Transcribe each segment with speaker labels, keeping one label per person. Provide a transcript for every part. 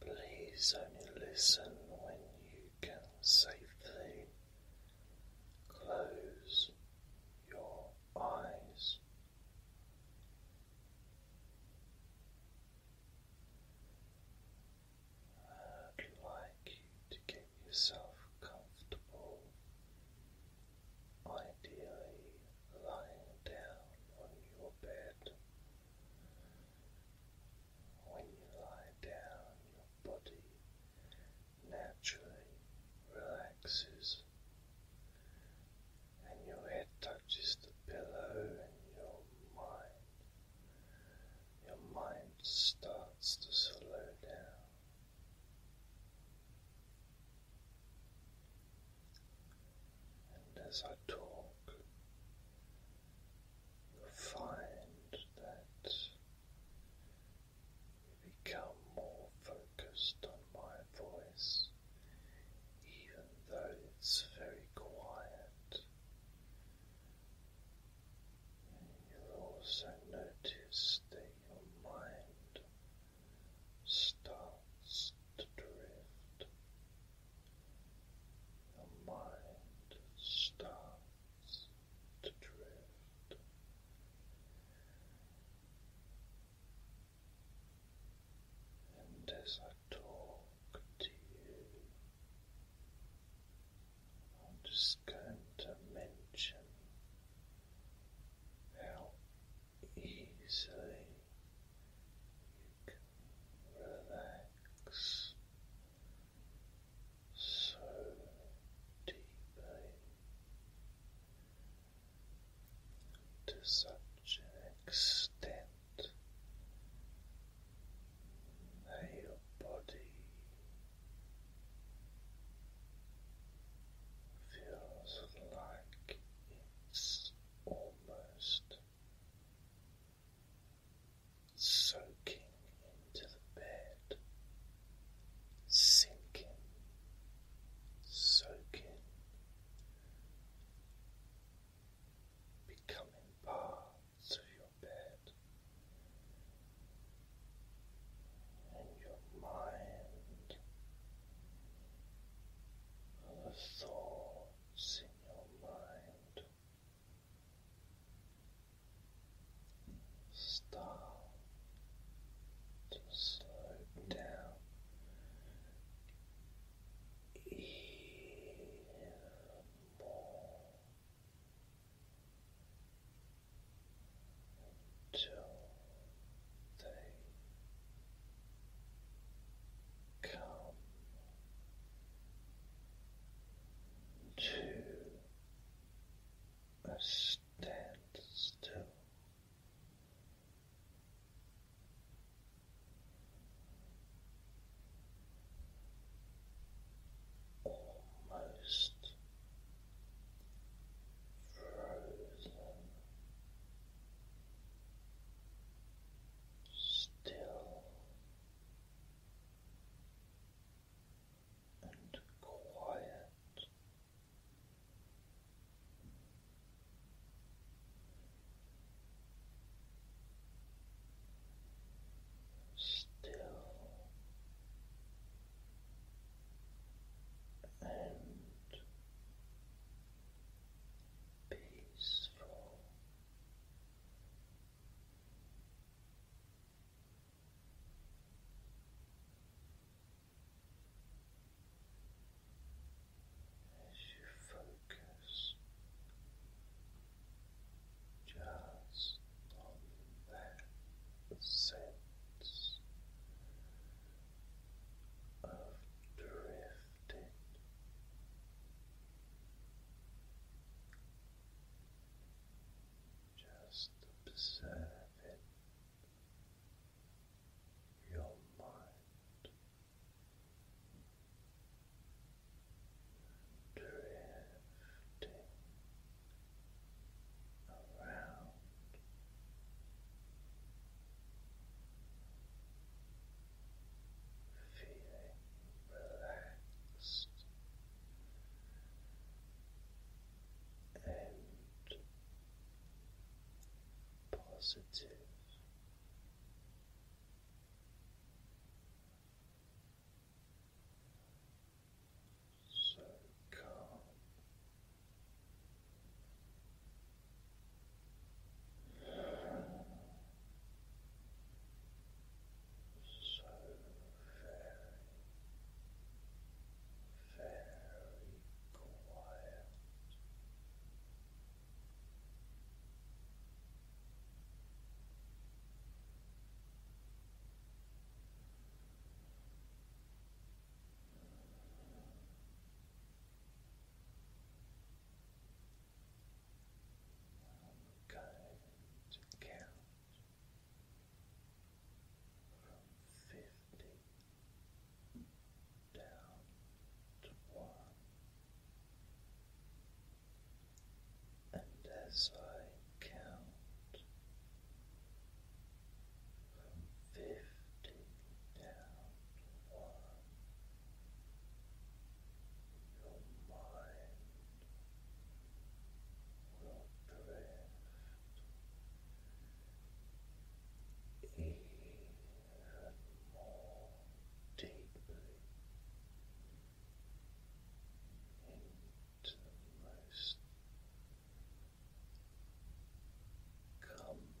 Speaker 1: Please only listen when you can safely close your eyes. I'd like you to get yourself comfortable, ideally lying down on your bed. When you lie down, your body naturally relaxes and your head touches the pillow and your mind your mind starts to slow down. And as I talk, You'll find that you become more focused on my voice, even though it's very quiet. You'll also notice that your mind starts to drift. Your mind starts to drift. And as I talk to you, I'm just going to mention how easily you can relax so deeply to such an extent that your body feels like it's almost soaking into the bed, sinking, soaking, becoming part of your bed. And your mind, the thought thoughts in your mind start to slow down even Come to a standstill. Almost frozen still and quiet. Still and peaceful. As you focus just on that sense of drifting lifted. Just observing your mind drifting around feeling relaxed and positive. So calm so very, very quiet. I'm to count from fifty down to one. And as I count from fifty one. Your mind will drift even more deeply into the most. Comforting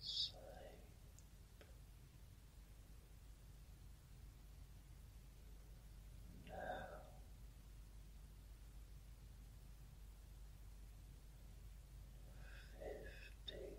Speaker 1: sleep. Now. Fifty four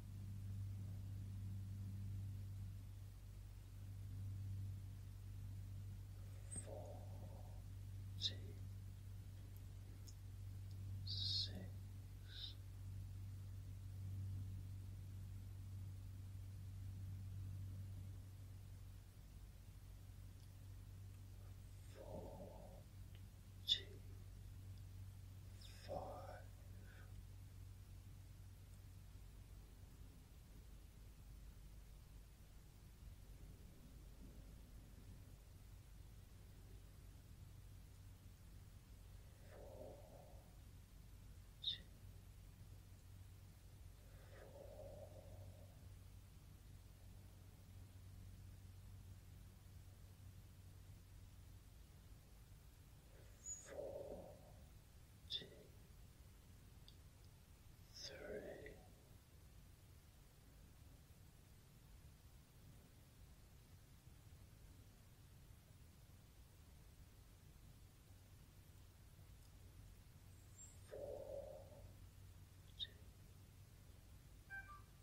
Speaker 1: forty six. Forty two, five, four, forty three. Forty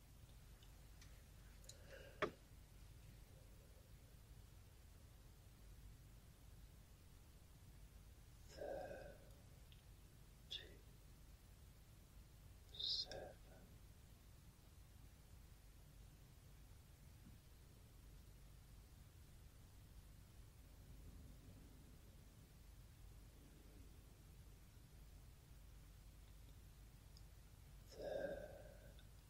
Speaker 1: Thirty-seven. Thirty-six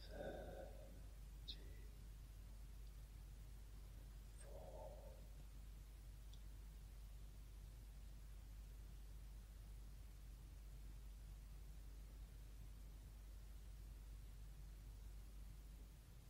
Speaker 1: Thirty-four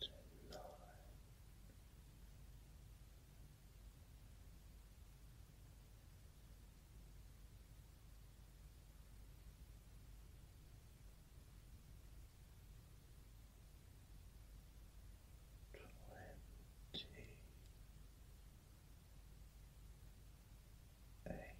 Speaker 1: Twenty-nine. Twenty eight. Twenty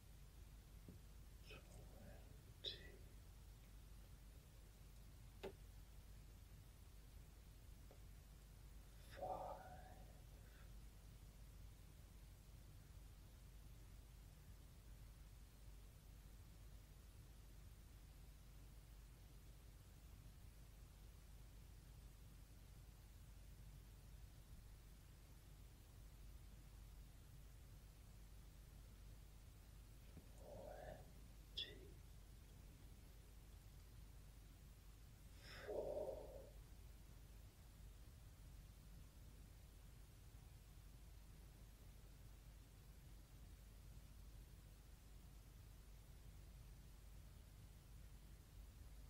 Speaker 1: twenty. Five, twenty-one twenty four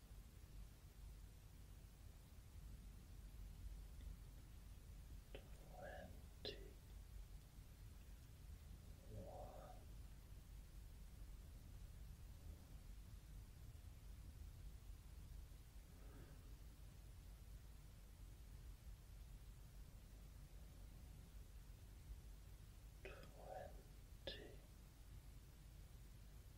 Speaker 1: Twenty one. Twenty